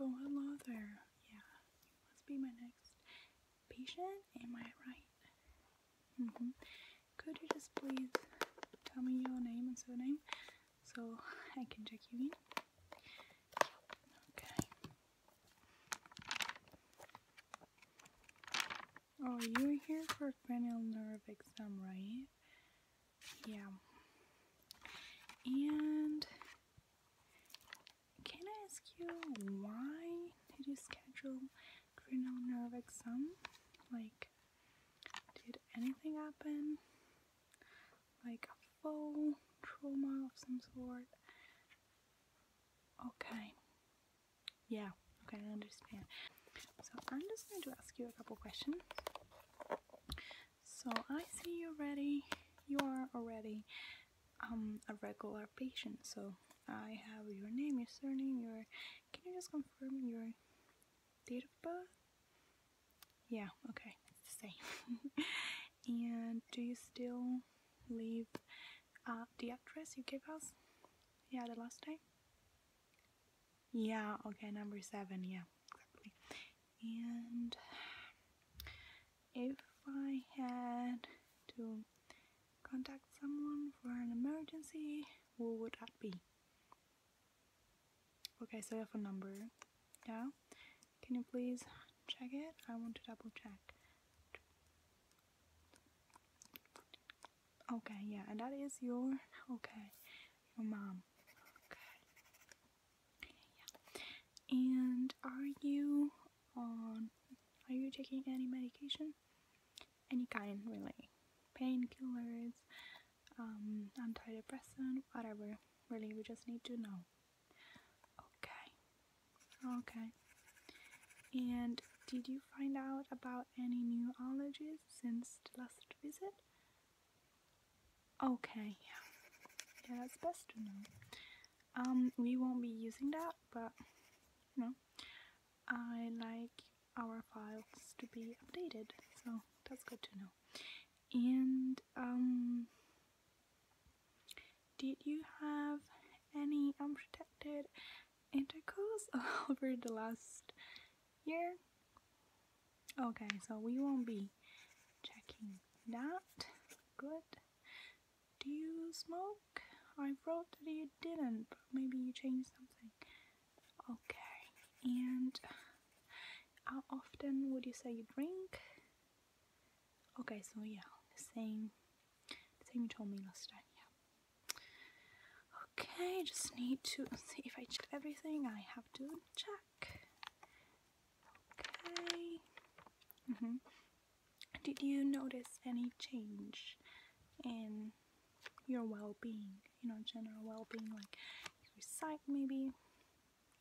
Oh, hello there. Yeah, you must be my next patient, am I right? Mm hmm. Could you just please tell me your name and surname so I can check you in? Okay. Oh, you're here for a cranial nerve exam, right? yeah. And can I ask you why did you schedule cranial nerve exam? Like, did anything happen? Like a fall, trauma of some sort? Okay. Yeah, okay, I understand. So I'm just going to ask you a couple questions. So I see you are ready. You are already um, a regular patient. So I have your name, your surname, your. Can you just confirm your date of birth? Yeah, okay, same. and do you still leave uh, the address you gave us? Yeah, the last time? Yeah, okay, number seven, yeah, exactly. And if I had to contact someone for an emergency, who would that be? Okay, so you have a number, yeah? Can you please check it? I want to double check. Okay, yeah, and that is your, okay, your mom. Okay. Yeah. And are you on? Are you taking any medication? Any kind, really? Painkillers, um, antidepressant, whatever. Really, we just need to know. Okay. Okay. And did you find out about any new allergies since the last visit? Okay, yeah. Yeah, that's best to know. Um, we won't be using that, but, you know, I like our files to be updated, so that's good to know. And, um, did you have any unprotected intercourse over the last here. Okay, so we won't be checking that. Good. Do you smoke? I wrote that you didn't, but maybe you changed something. Okay, and how often would you say you drink? Okay, so yeah, the same, the same you told me last time, yeah. Okay, just need to see if I check everything. I have to check. Okay. -hmm. Did you notice any change in your well-being? You know, general well-being, like your sight, maybe.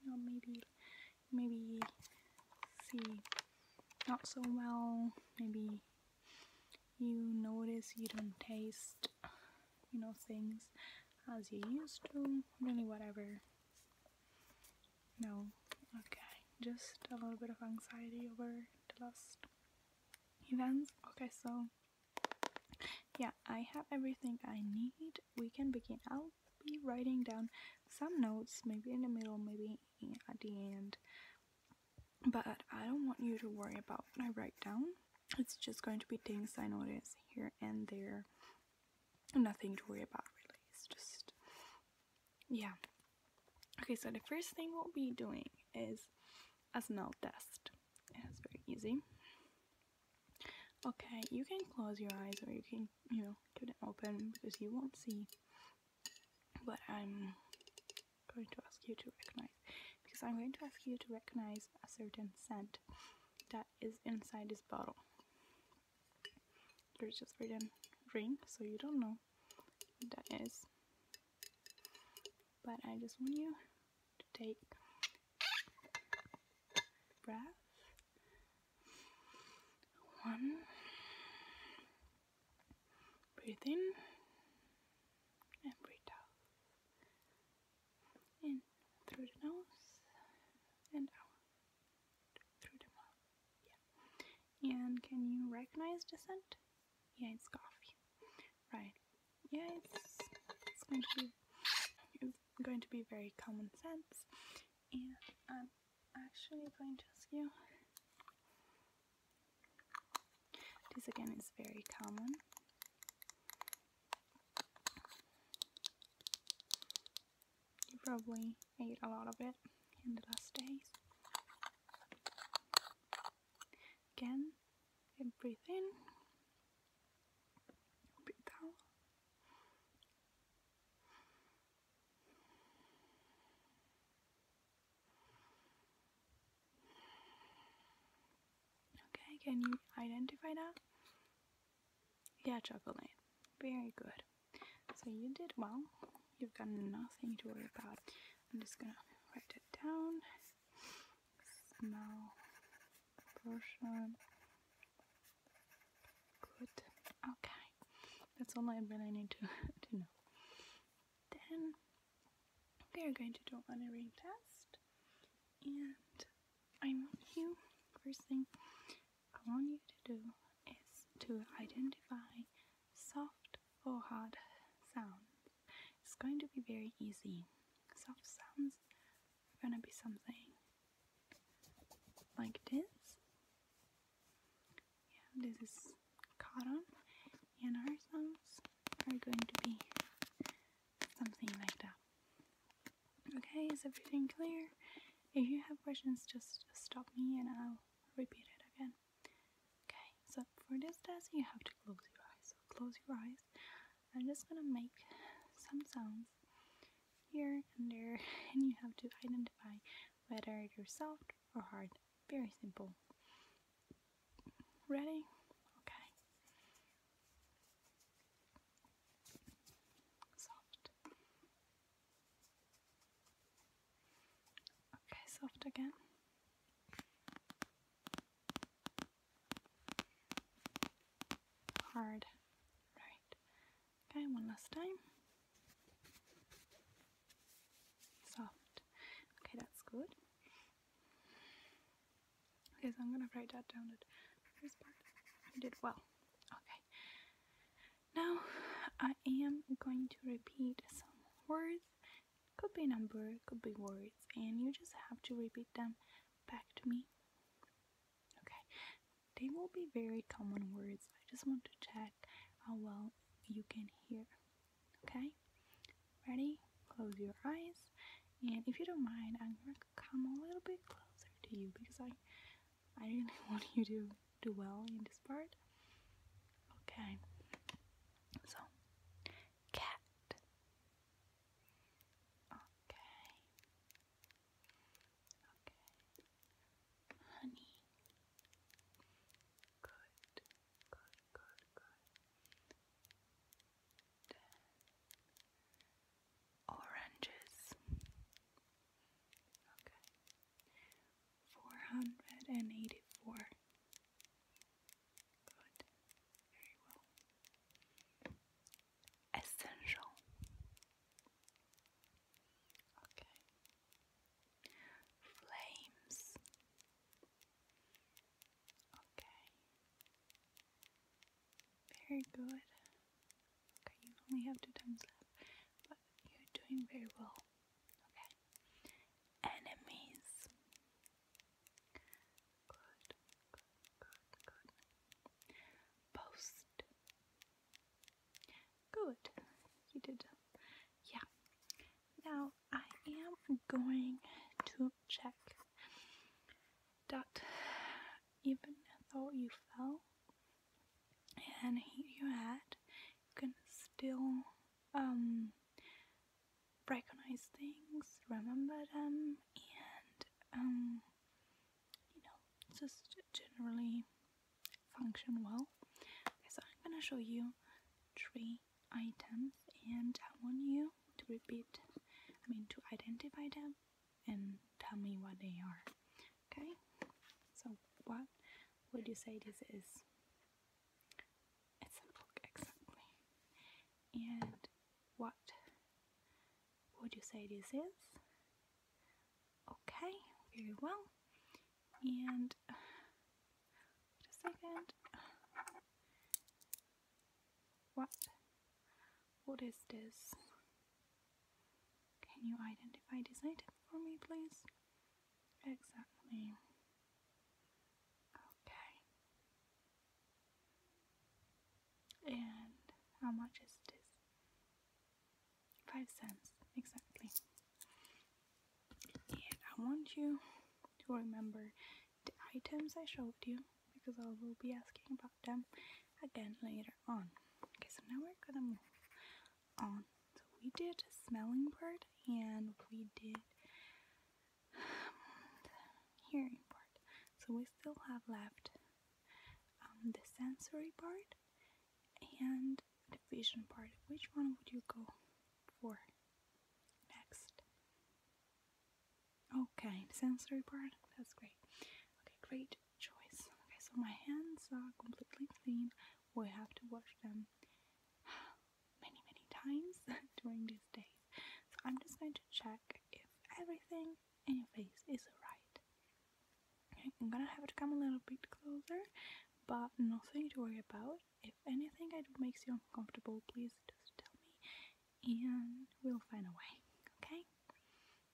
You know, maybe, maybe see not so well. Maybe you notice you don't taste you know, things as you used to, really whatever. No, okay, just a little bit of anxiety over the last events. Okay, so yeah, I have everything I need. We can begin. I'll be writing down some notes, maybe in the middle, maybe at the end. But I don't want you to worry about what I write down it's just going to be things I notice here and there. Nothing to worry about really. It's just yeah. Okay, so the first thing we'll be doing is a smell test. It's very easy. Okay, you can close your eyes or you can, you know, keep them open because you won't see. But I'm going to ask you to recognize because I'm going to ask you to recognize a certain scent that is inside this bottle. There's just written ring, so you don't know what that is. But I just want you to take breath. One. Breathe in and breathe out in through the nose and out through the mouth. Yeah. And can you recognize the scent? Yeah, it's coffee. Right. Yeah, it's, going to be going to be very common sense. And I'm actually going to ask you. This again is very common you probably ate a lot of it in the last days. Again, and breathe in, breathe out. Okay, can you identify that? Yeah, chocolate. Very good. So you did well. You've got nothing to worry about. I'm just gonna write it down. Smell portion. Good. Okay. That's all I really need to, to know. Then we are going to do an earring test and I want you, first thing I want you to do is to identify soft or hard sounds. It's going to be very easy. Soft sounds are going to be something like this. Yeah, this is cotton and our sounds are going to be something like that. Okay, is everything clear? If you have questions, just stop me and I'll repeat it again. Okay, so for this test, you have to close your eyes. So close your eyes. I'm just gonna make some sounds here and there, and you have to identify whether it's soft or hard. Very simple. Ready? Okay. Soft. Okay, soft again. Hard. Right. Okay, one last time. Soft. Okay, that's good. Okay, so I'm gonna write that down at first part. I did well. Okay. Now I am going to repeat some words. Could be number, could be words, and you just have to repeat them back to me. Okay. They will be very common words. I just want to check how well you can hear. Okay? Ready? Close your eyes. And if you don't mind, I'm going to come a little bit closer to you because I, I really want you to do well in this part. Okay. So, cat. Okay. Okay. Honey. Good. Oranges. Okay. Four hundred and eighty-four. Good. Very well. Essential. Okay flames. Okay. Very good. Okay, you only have two times left, but you're doing very well. Okay. Enemies. Good, good, good, good. Post. Good. You did. Yeah. Now I am going to check that even though you fell and you your head, you can still um, recognize things, remember them, and um, you know, just generally function well. so I'm gonna show you three items and I want you to repeat, I mean to identify them and tell me what they are. Okay? So what would you say this is? It's a book, exactly. And what would you say this is? Okay, very well. And Wait a second. What? What is this? Can you identify this item for me, please? Exactly. Okay. And how much is this? Five cents, exactly. And I want you to remember the items I showed you because I will be asking about them again later on. Okay, so now we're gonna move on. So we did smelling part and we did hearing part. So we still have left um, the sensory part and the vision part, which one would you go for next? Okay, the sensory part, that's great. Okay, great choice. Okay, so my hands are completely clean. We have to wash them many, many times during these days. So I'm just going to check if everything in your face is alright. Okay, I'm gonna have to come a little bit closer, but nothing to worry about. If anything I makes you uncomfortable, please just tell me and we'll find a way, okay?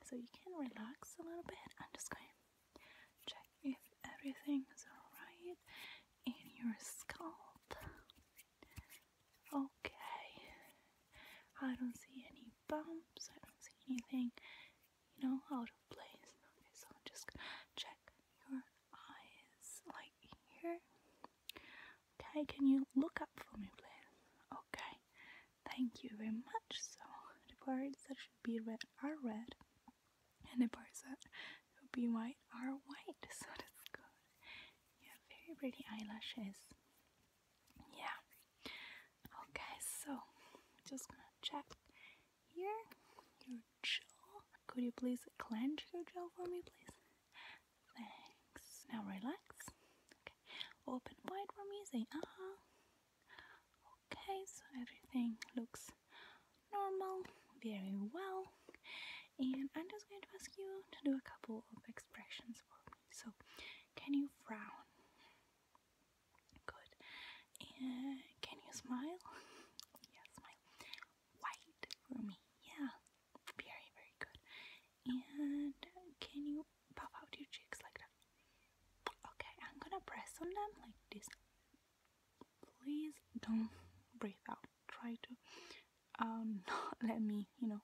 So you can relax a little bit. I'm just going to check if everything is alright in your scalp. Okay. I don't see any bumps, I don't see anything you know, out of place. Okay, so I'm just gonna check your eyes like here. Okay, can you look up for me, please? Okay, thank you very much. So the parts that should be red are red, and the parts that should be white are white. So that's good. Yeah, very pretty eyelashes. Yeah. Okay, so just gonna check here, your jaw. Could you please clench your jaw for me, please? Thanks. Now relax. Okay. Open wide for me. Say ah. Uh -huh. Okay, so everything looks normal, very well. And I'm just going to ask you to do a couple of expressions for me. So, can you frown? Good. And can you smile? yeah, smile. White for me. Yeah. Very, very good. And can you pop out your cheeks like that? Okay, I'm gonna press on them like this. Please don't breathe out. Try to um let me, you know.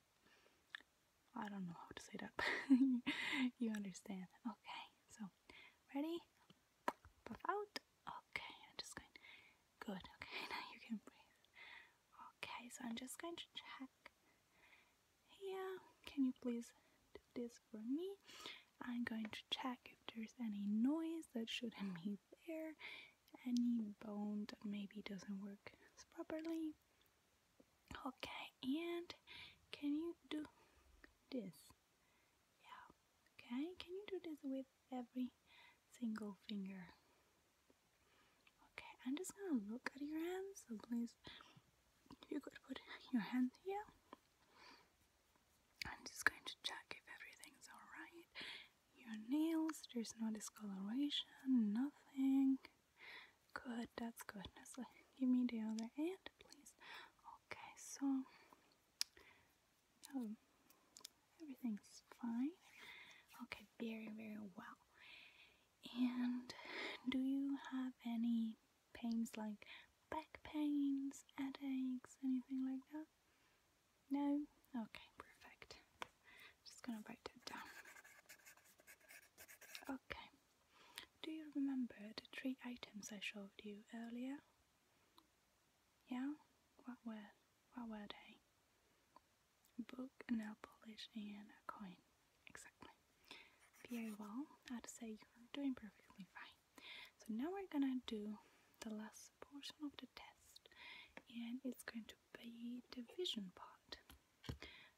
I don't know how to say that. you understand. Okay, so ready? out. Okay, I'm just going. Good. Okay, now you can breathe. Okay, so I'm just going to check here. Can you please do this for me? I'm going to check if there's any noise that shouldn't be there, any bone that maybe doesn't work properly. Okay, and can you do this? Yeah, okay, can you do this with every single finger? Okay, I'm just gonna look at your hands, so please, you could put your hand here. I'm just going to check if everything's alright. Your nails, there's no discoloration, nothing. Good, that's good. Now, so uh, give me the other hand, please. Okay, so oh, everything's fine. Okay, very, very well. And do you have any pains like back pains, headaches, anything like that? No? Okay, perfect. Just gonna write it down. Okay. Do you remember the three items I showed you earlier? Yeah? What were, what were they? A book, a nail polish, and a coin. Exactly. Very well. I'd say you're doing perfectly fine. So now we're gonna do the last portion of the test, and it's going to be the vision part.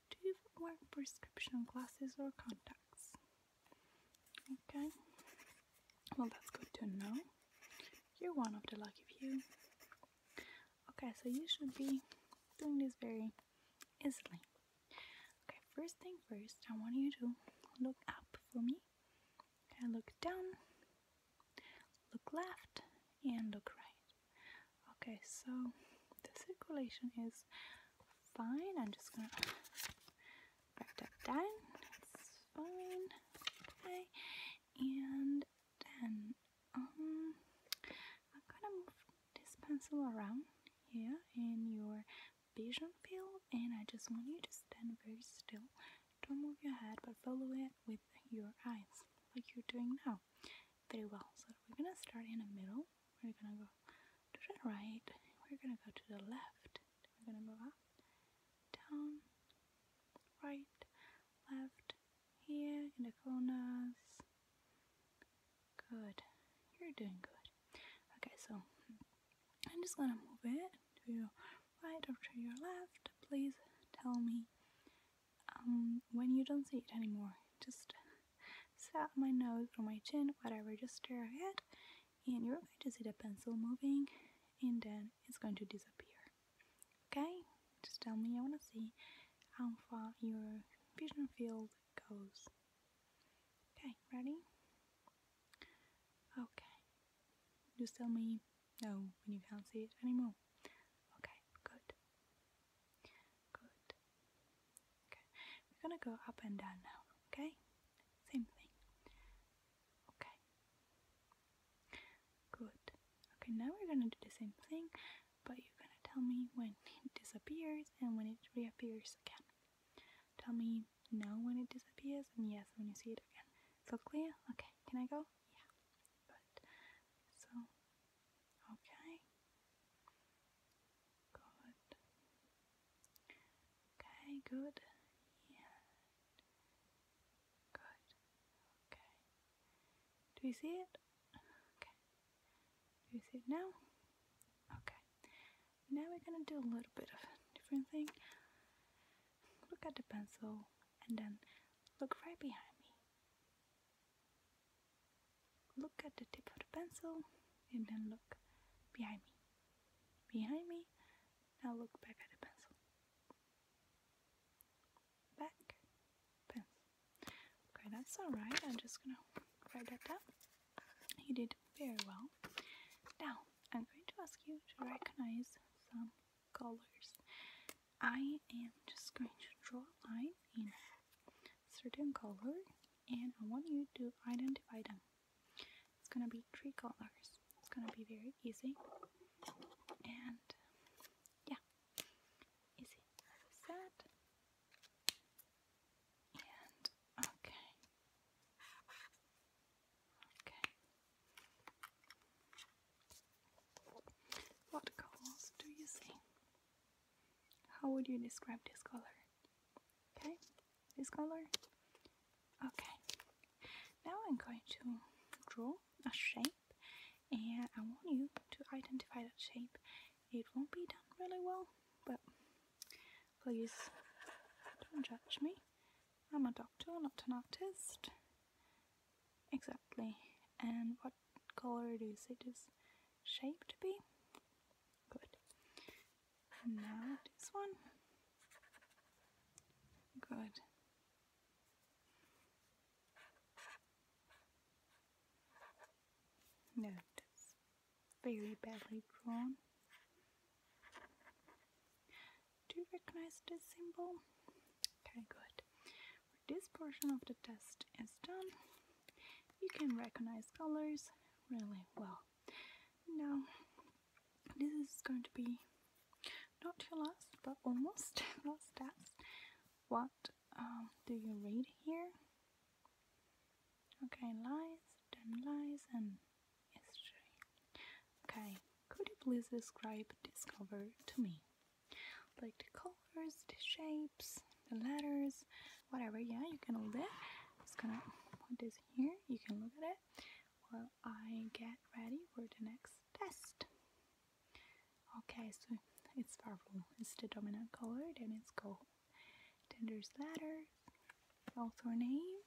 Do you wear prescription glasses or contacts? Okay. Well, that's good to know. You're one of the lucky few. Okay, so you should be doing this very easily. Okay, first thing first, I want you to look up for me. Okay, look down, look left, and look right. Okay, so the circulation is fine. I'm just gonna back up down. It's fine. Okay. And then I'm um, gonna move this pencil around here in your vision field and I just want you to stand very still. Don't move your head but follow it with your eyes like you're doing now. Very well. So we're gonna start in the middle we're gonna go to the right, we're gonna go to the left, we're gonna move up, down, right, left, here in the corners. Good, you're doing good. Okay, so I'm just gonna move it to your right or to your left. Please tell me um, when you don't see it anymore. Just sat my nose or my chin, whatever, just stare ahead, and you're going to see the pencil moving, and then it's going to disappear. Okay? Just tell me, I want to see how far your vision field goes. Okay, ready? Okay. Just tell me no when you can't see it anymore. Okay, good. Good. Okay, we're gonna go up and down now. Okay, same thing. Okay, good. Okay, now we're gonna do the same thing, but you're gonna tell me when it disappears and when it reappears again. Tell me no when it disappears and yes when you see it again. So clear? Okay, can I go? Yeah. so Okay. Good. Okay, good. Yeah. Good. Okay. Do you see it? Okay. Do you see it now? Okay. Now we're gonna do a little bit of a different thing. Look at the pencil and then look right behind me. Look at the tip of the pencil and then look behind me. Behind me, now look back at the pencil. Back, Okay, that's alright. I'm just gonna write that down. You did very well. Now, I'm going to ask you to recognize some colors. I am just going to draw a line in certain color and I want you to identify them. It's gonna be three colors. It's gonna be very easy and yeah, easy as And okay, okay. What colors do you see? How would you describe this color? Okay, this color. Okay, now I'm going to draw a shape and I want you to identify that shape. It won't be done really well, but please don't judge me. I'm a doctor, not an artist. Exactly. And what what color it is. It is shaped to be. Good. And now this one. Good. No, it's very badly drawn. Do you recognize this symbol? Okay, good this portion of the test is done, you can recognize colors really well. Now, this is going to be not your last, but almost last test. What um, do you read here? Okay, lies, then lies, and history. Okay, could you please describe this cover to me? like the colors, the shapes, the letters, whatever. Yeah, you can all that. i just gonna put this here. You can look at it while I get ready for the next test. Okay, so it's purple. It's the dominant color. Then it's gold. Then there's letters, author name.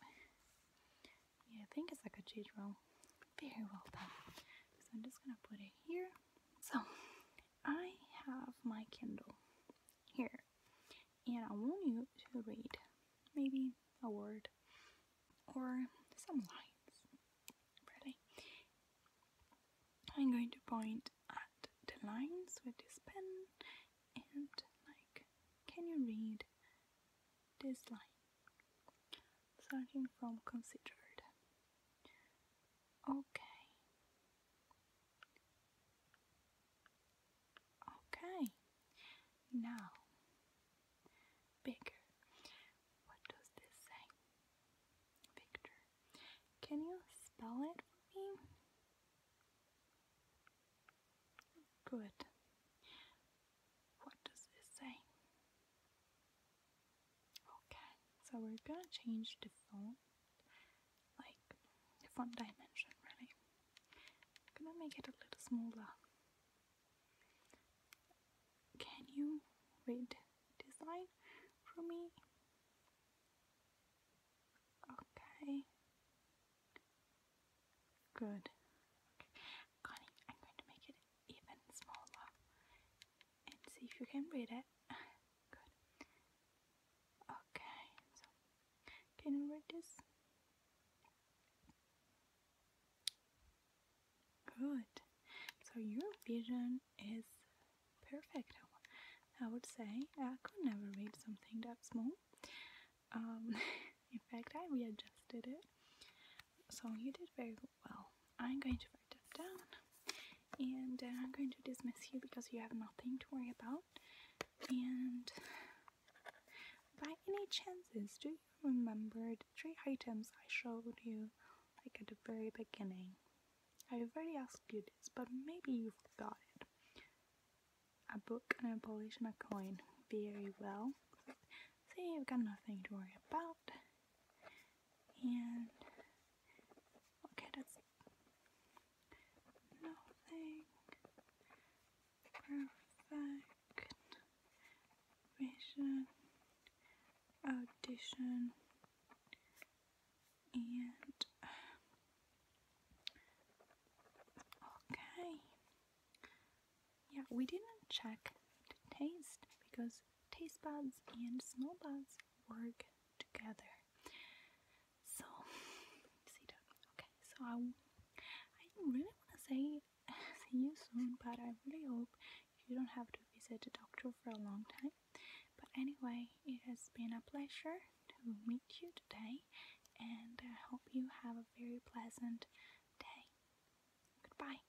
Yeah, I think it's like a cathedral. Very well done. So I'm just gonna put it here. So I have my Kindle here, and I want you to read maybe a word or some lines. Ready? I'm going to point at the lines with this pen and, like, can you read this line? Starting from considered. Okay. Okay. Now, bigger. What does this say? Victor. Can you spell it for me? Good. What does this say? Okay, so we're gonna change the font, like the font dimension really. I'm gonna make it a little smaller. Can you read this line for me? Okay. Good. I'm going to make it even smaller and see if you can read it. Good. Okay, so can you read this? Good. So your vision is perfect. I would say I could never read something that small. Um, in fact, I readjusted it. So you did very well. I'm going to write that down and uh, I'm going to dismiss you because you have nothing to worry about. And by any chances, do you remember the three items I showed you like at the very beginning? I've already asked you this, but maybe you forgot it. A book, an abolish, and a coin. Very well. See, so you've got nothing to worry about and look at nothing perfect vision audition and okay yeah we didn't check the taste because taste buds and smell buds work together. So, Okay, so I, I really want to say see you soon, but I really hope you don't have to visit the doctor for a long time. But anyway, it has been a pleasure to meet you today, and I hope you have a very pleasant day. Goodbye.